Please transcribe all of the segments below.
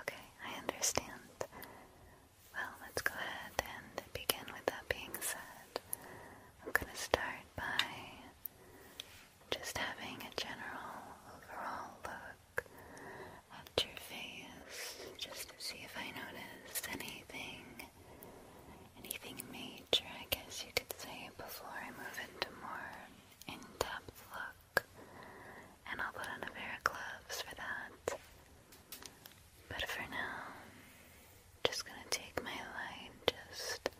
Okay, I understand. Well, let's go ahead and begin with that being said. I'm going to start by just having a general overall look at your face just to see if I notice anything, anything major, I guess you could say, before I move into more in-depth look look, and I'll put on a pair of gloves for that. But for now, just gonna take my light just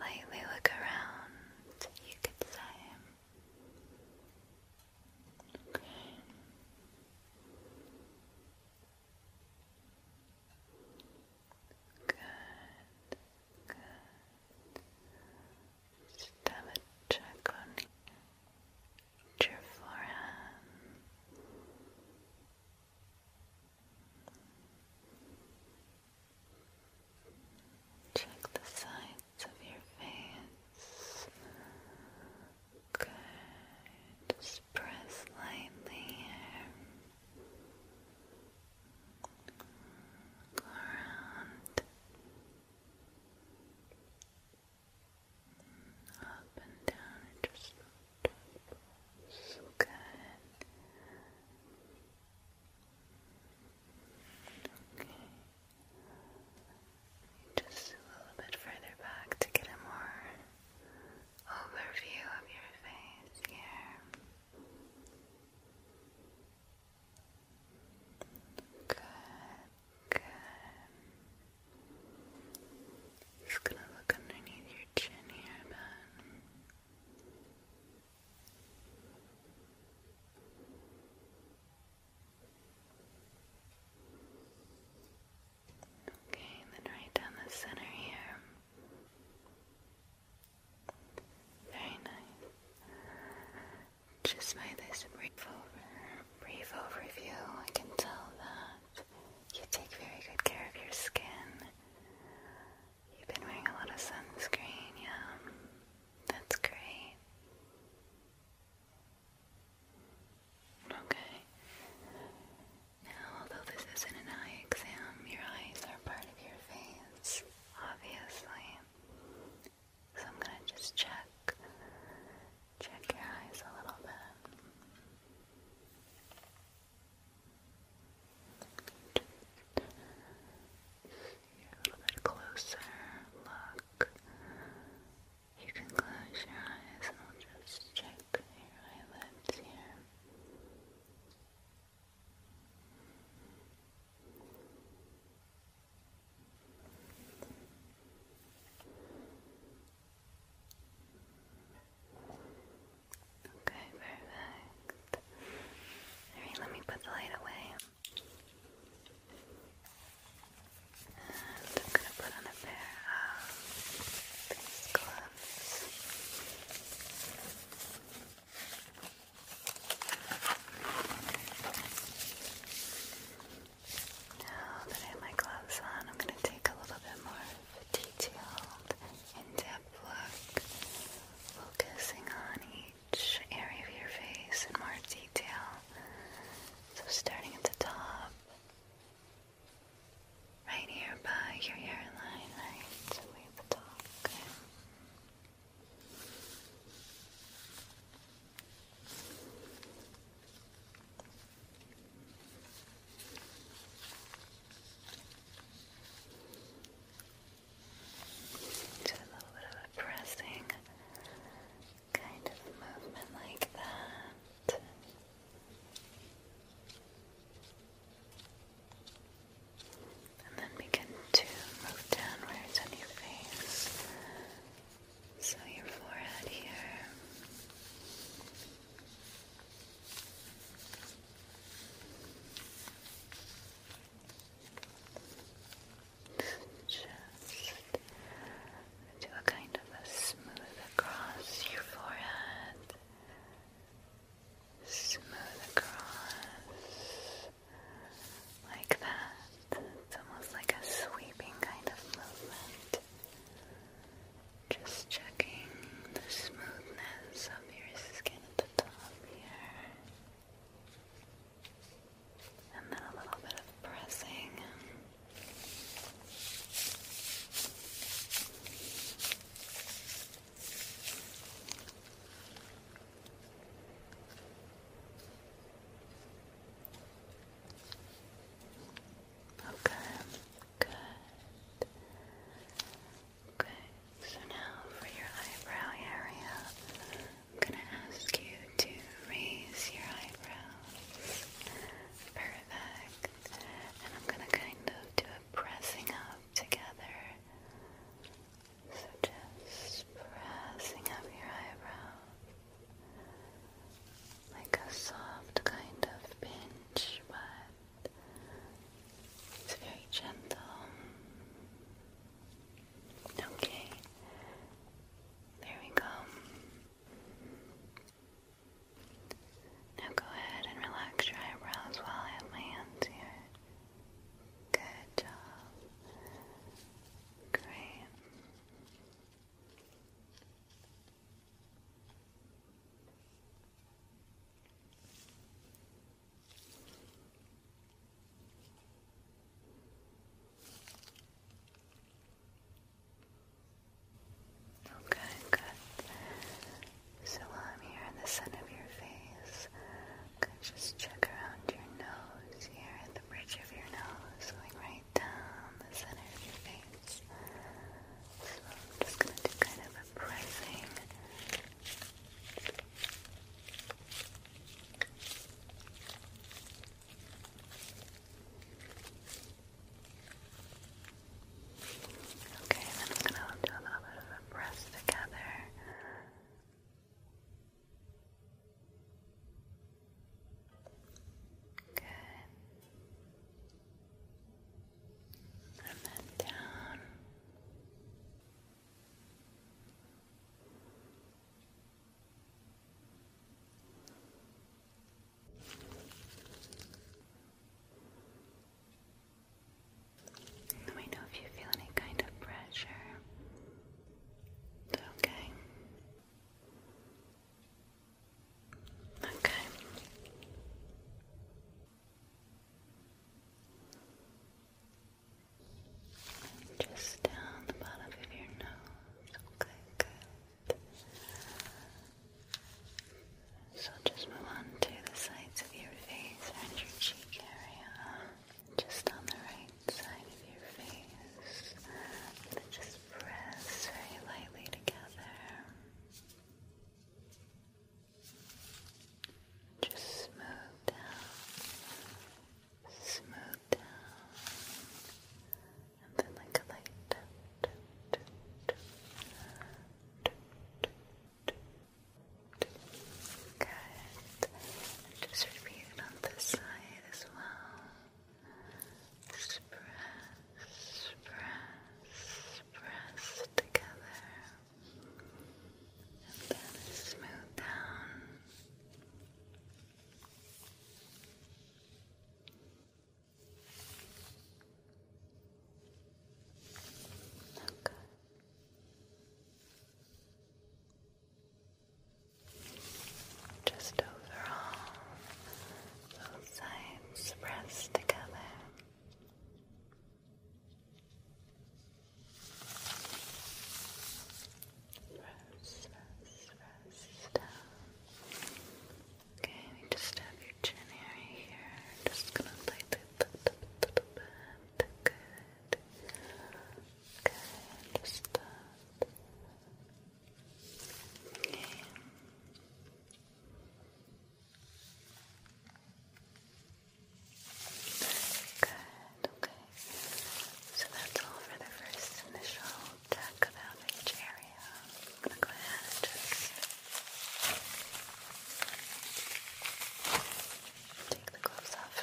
lightly look around, you could say. Okay. Good. Just have a check on your forehead. Check the sides of your face. Good. Just press lightly here. Around up and down and just so good. Okay. Just a little bit further back to get a more overview of your face here. Good, good. Just gonna look underneath your chin here, man. Okay, then right down the center here. Very nice. Just by this brief, brief overview, I can tell that you take very good care of your skin. You've been wearing a lot of sunscreen, yeah. That's great. Okay. Now, although this isn't an eye exam, your eyes are part of your face, obviously. So I'm gonna just check, check your eyes a little bit. Just a little bit closer look. You can close your eyes and I'll just check your eyelids here. Okay, perfect. Alright, let me put the light away. I'm gonna put on a pair of these gloves. Now that I have my gloves on, I'm going to take a little bit more of a detailed, in-depth look, focusing on each area of your face in more detail. So starting at the top, right here by your hairline, right away the top, do a little bit of pressing kind of movement like that. And then begin to move downwards on your face. So your forehead here. Just do a kind of a smooth across your forehead. Smooth across like that. It's almost like a sweeping kind of movement. Just checking the smoothness of your skin at the top here. And then a little bit of pressing. Okay, good. Okay, so now for your eyebrow area, I'm gonna ask you to raise your eyebrows. Perfect. And I'm gonna kind of do a pressing up together. So just pressing up your eyebrows like a soft kind of pinch, but it's very gentle. Okay, there we go. Now go ahead and relax your eyebrows while I have my hands here. Good job. Great. Okay, good. So while I'm here in the center of your face, just check around your nose here at the bridge of your nose, going right down the center of your face. So I'm just gonna do kind of a pressing. Okay, then I'm gonna do a little bit of a press together. Good. And then down. Let me know if you feel any kind of pressure Okay. Okay. Just down the bottom of your nose. Okay, So just move on to the sides of your face and your cheek area just on the right side of your face. And then just press very lightly together. Just smooth down, smooth down, and then like a light tap, Good. Just repeat it on this side as well. press, press, press together. And then smooth down. Okay. Just overall, both sides press together. Press, press, press down. Okay, we just have your chin area here. Just gonna light little bit. Good. Okay, understood. Good, okay. So that's all for the first initial check about each area. I'm gonna go ahead and just take the gloves off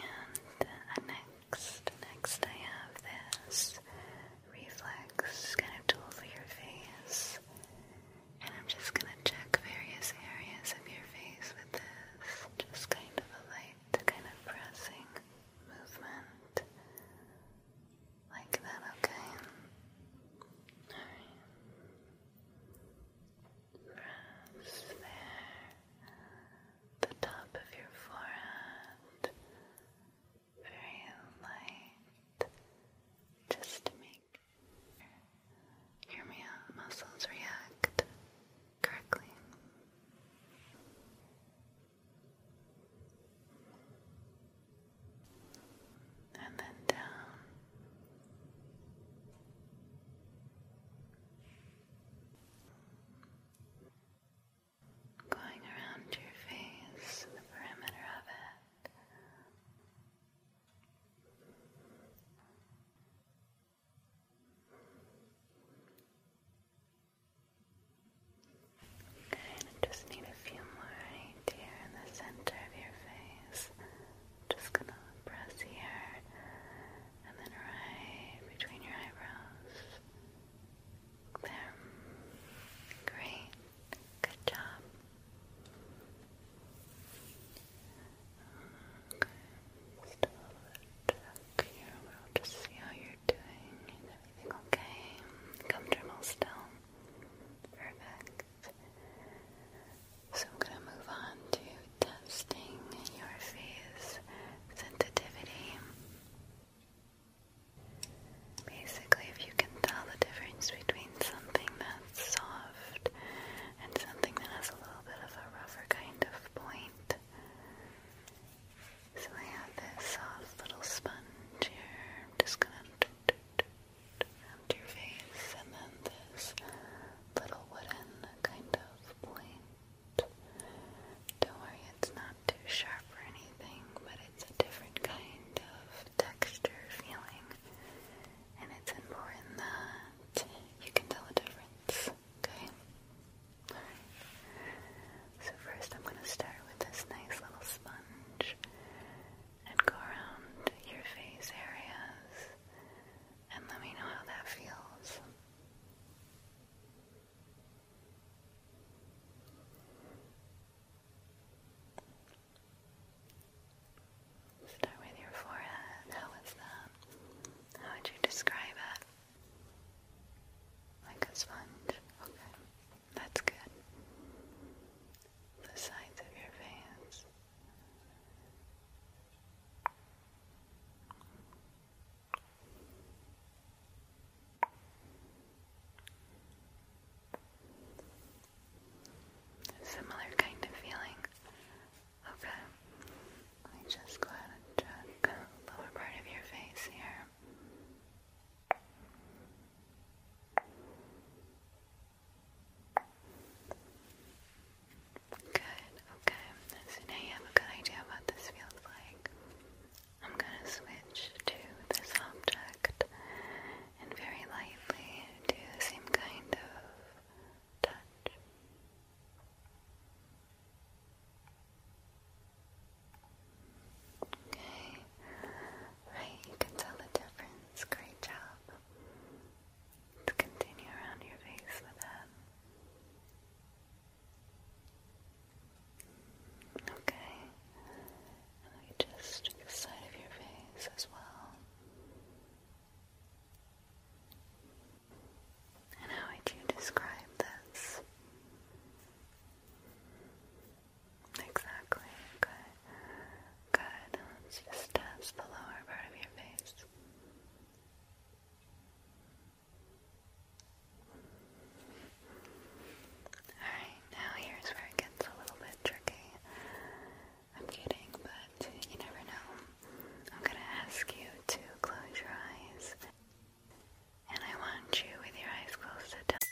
And uh, next, next I have this reflex kind of tool for your face. And I'm just gonna check various areas of your face with this. Just kind of a light, kind of pressing movement. Like that, okay? Alright. Press there, the top of your forehead, very light, just to make your muscles react correctly and then down. Going around your face, the perimeter of it. Okay, just need a few more right here in the center of your face. Just gonna press here and then right between your eyebrows. There. Great. Good job. Okay. here. We'll just see how you're doing. everything okay? Comfortable still? Perfect. So I'm going to move on to testing your face sensitivity. Basically, if you can tell the difference between something that's soft and something that has a little bit of a rougher kind of point. So I have this soft little sponge here. just gonna around your face, and then this little wooden kind of point. Don't worry, it's not too sharp or anything, but it's a different kind of texture feeling, and it's important that you can tell the difference. Okay? So, first, I'm going to start with this nice little sponge and go around your face areas and let me know how that feels. Start with your forehead. How is that? How would you describe it? Like a sponge? Okay. That's good the sides of your veins. similar kind of feeling. Okay, let me just go ahead and check lower part of your face here. Good, okay. So now you have a good idea what this feels like. I'm gonna switch to this object and very lightly do the same kind of touch. Okay. Right, you can tell the difference. Great job let continue around your face with that. Okay. And we just the side of your face as well. And how would you describe this? Exactly. Okay. Good. Let's just test the lower part of your face. Alright, now here's where it gets a little bit tricky. I'm kidding, but you never know. I'm gonna ask you to close your eyes. And I want you, with your eyes closed, to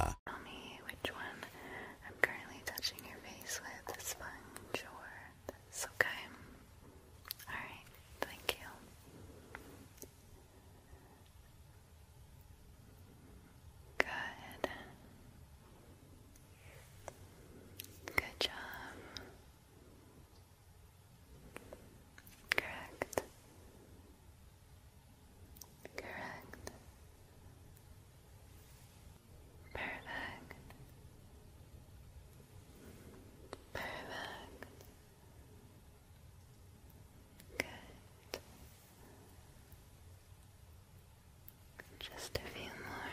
Tell me which one I'm currently touching your face with, the sponge or this, okay? Alright, thank you. Good. Good job. Correct. Correct. Perfect. Perfect. Good. Just a few more.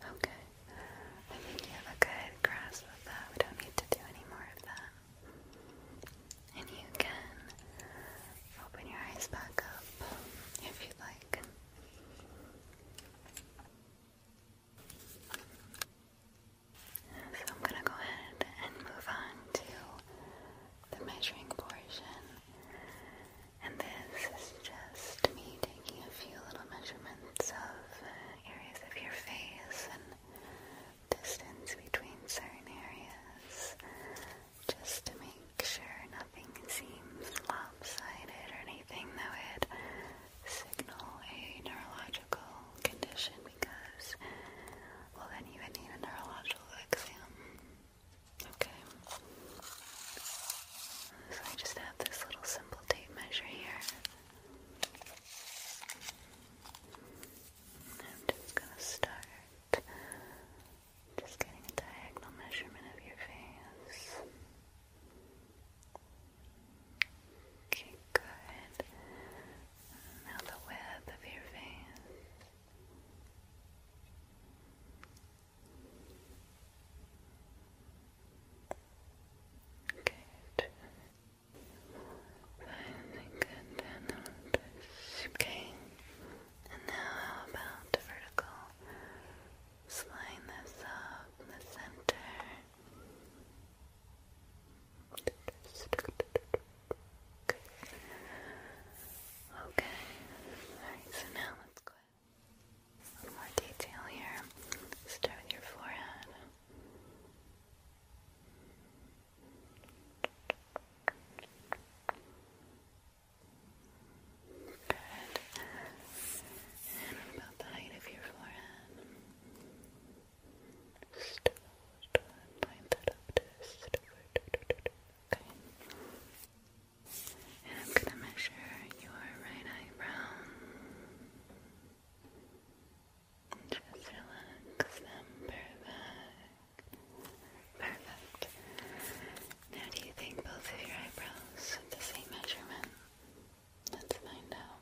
Okay. I think you have a good grasp of that. We don't need to do any more of that. And you can open your eyes back up if you like. So I'm going to go ahead and move on to the measuring portion. And this is just me taking a few little measurements of uh, areas of your face and distance between certain areas just to make sure nothing seems lopsided or anything that would signal a neurological condition because, we'll then even need a neurological exam. Okay. So I just have this little simple tape measure here. I'm just gonna start just getting a diagonal measurement of your face. Okay, good. Now the width of your face. Good. Finally got down on Okay. And now how about vertical? Slide this up in the center. Okay. Alright, so now let's go ahead. A little more detail here. Start with your forehead. Good. And about the height of your forehead? Just point that up to Okay. And I'm going to measure your right eyebrow. Just relax them. Perfect. Perfect. Now, do you think both of your eyebrows have the same measurement? Let's find out.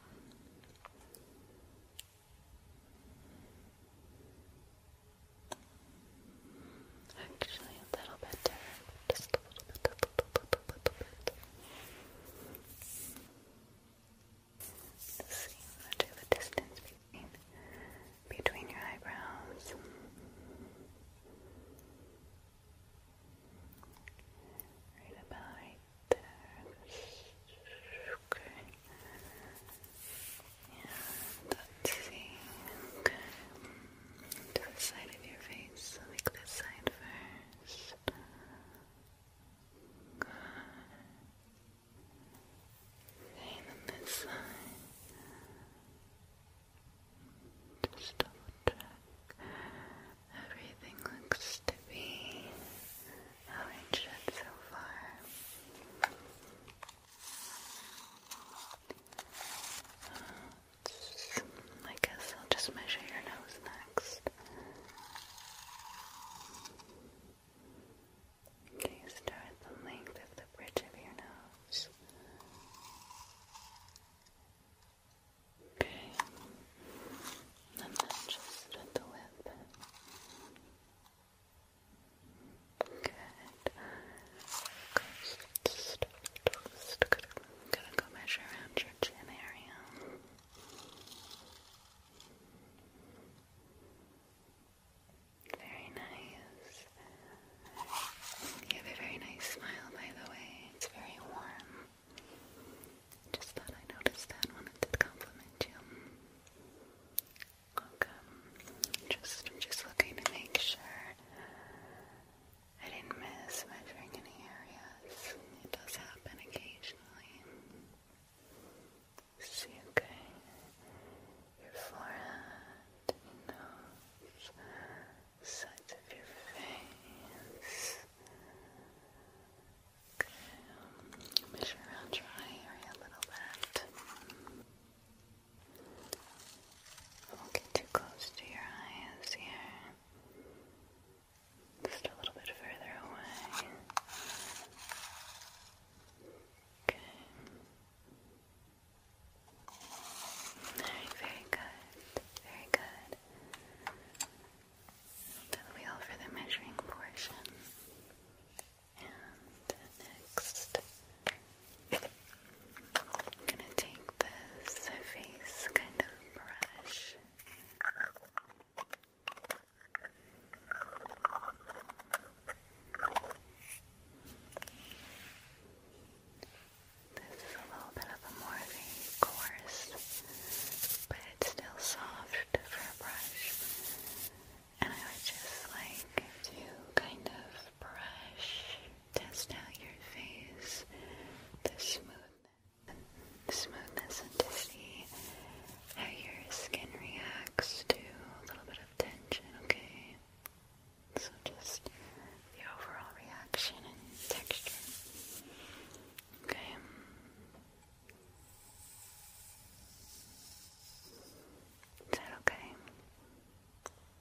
Actually, a little bit different. Just a little bit, a little bit, Let's see much of distance between, between your eyebrows. Right about right there. Okay. Yeah, let's see. Okay to the side of your face, like this side first. Good. then this side. Just double check. Everything looks to be how it should so far. I guess I'll just measure your nose next. Okay, start at the length of the bridge of your nose. Okay, then just at the lip. Good i just gonna, go measure around your chin area. Very nice. You have a very nice smile, by the way. It's very warm. Just thought I noticed that and wanted to compliment you. Okay. Just, just looking to make sure I didn't miss measuring any areas. It does happen occasionally. See, okay, your forehead, nose, sides of your face. Okay, um, measure around your eye area a little bit. Don't get too close to your eyes here. Just a little bit further away. Okay. Alright, very good. Very good. That'll for the measuring portion. And next, I'm gonna take this face kind of brush. This is a little bit of a more coarse, but it's still soft for brush. And I would just like to kind of brush Test out your face, the smoothness, the smoothness, and to see how your skin reacts to a little bit of tension. Okay, so just the overall reaction and texture. Okay. Is that okay?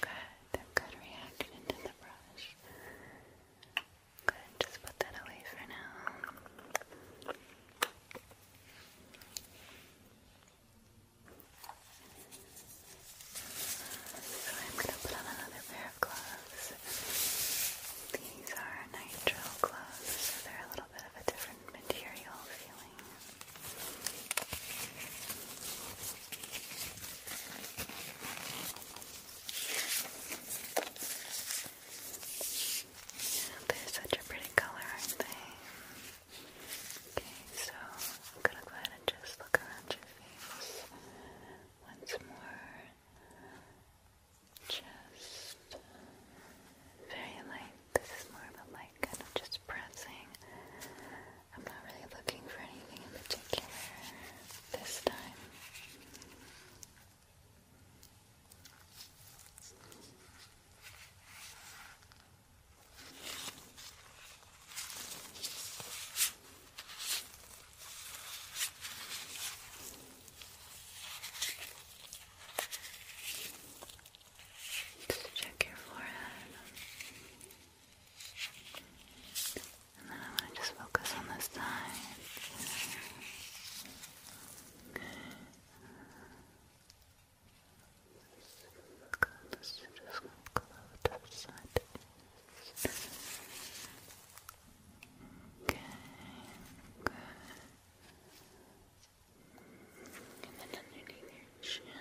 Good, good reaction to the brush. Good, just put that away for now. So I'm going to put on another pair of gloves. These are nitrile gloves, so they're a little bit of a different material feeling. They're such a pretty color, aren't they? Okay, so I'm gonna go ahead and just look around your face once more. Just very lightly. This is more of a light kind of just pressing. I'm not really looking for anything in particular this time. Just check your forehead. And then I'm to just focus on this side. just go to the side. Okay, and then underneath your chin.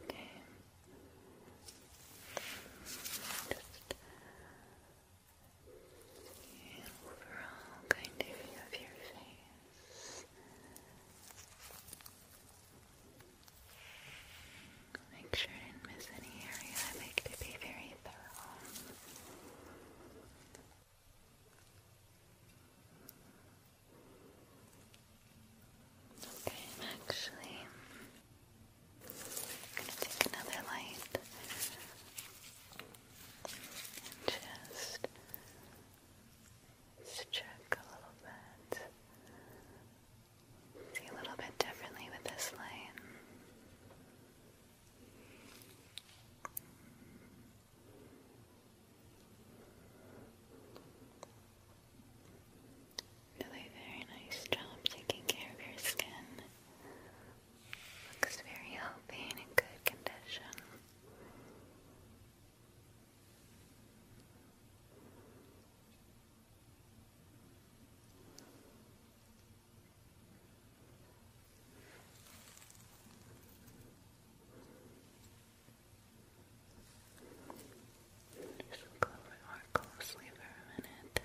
okay. Just the overall kind of view of your face. Make sure I didn't miss any area. I like to be very thorough. Okay, I'm actually gonna take another light and just check a little bit see a little bit differently with this light. Really very nice job taking care of your skin. Looks very healthy and in good condition. Just look over more closely for a minute.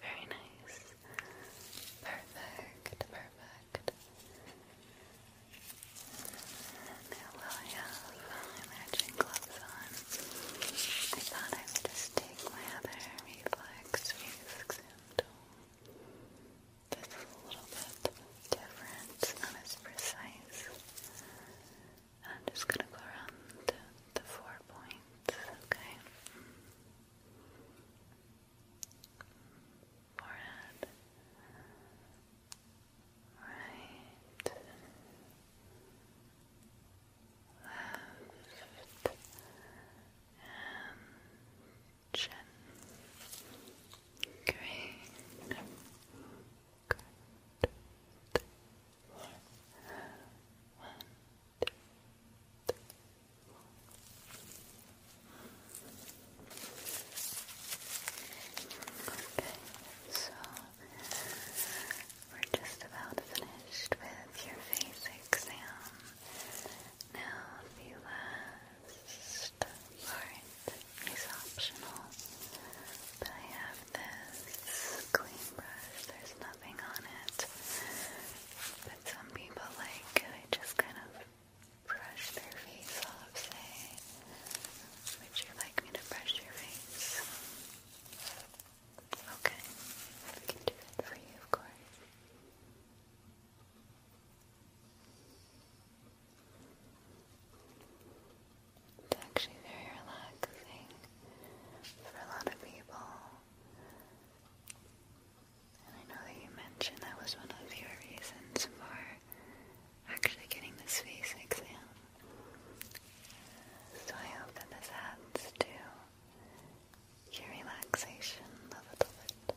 Very nice. Perfect, perfect. Now while have my matching gloves on, I thought I would just take my other reflex reflex tool this is a little bit different, it's not as precise. I'm just gonna go around the four points, okay? Forehead. Right. Left. And chin. Green. Good. Four. One, Okay, so we're just about finished with your face exam. Now the first part is optional, I have this clean brush. There's nothing on it, but some people like I just kind of brush their face off. Say, would you like me to brush your face? Okay, I can do it for you, of course. It's actually very relaxing for a lot of people. And I know that you mentioned that was one of your reasons for actually getting this face exam. So I hope that this adds to your relaxation a little bit.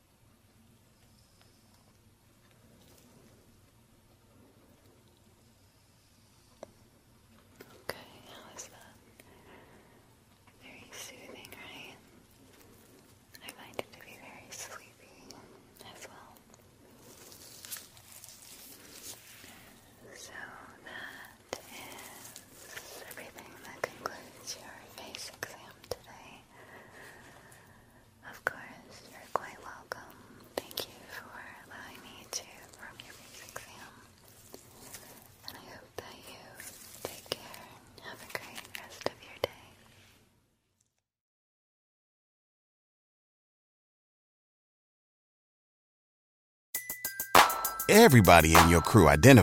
Okay, how is that? Very soothing, right? I find it to be very sleepy as well. So that is everything that concludes your face exam today. Of course, you're quite welcome. Thank you for allowing me to perform your basic exam. And I hope that you take care have a great rest of your day. Everybody in your crew identifies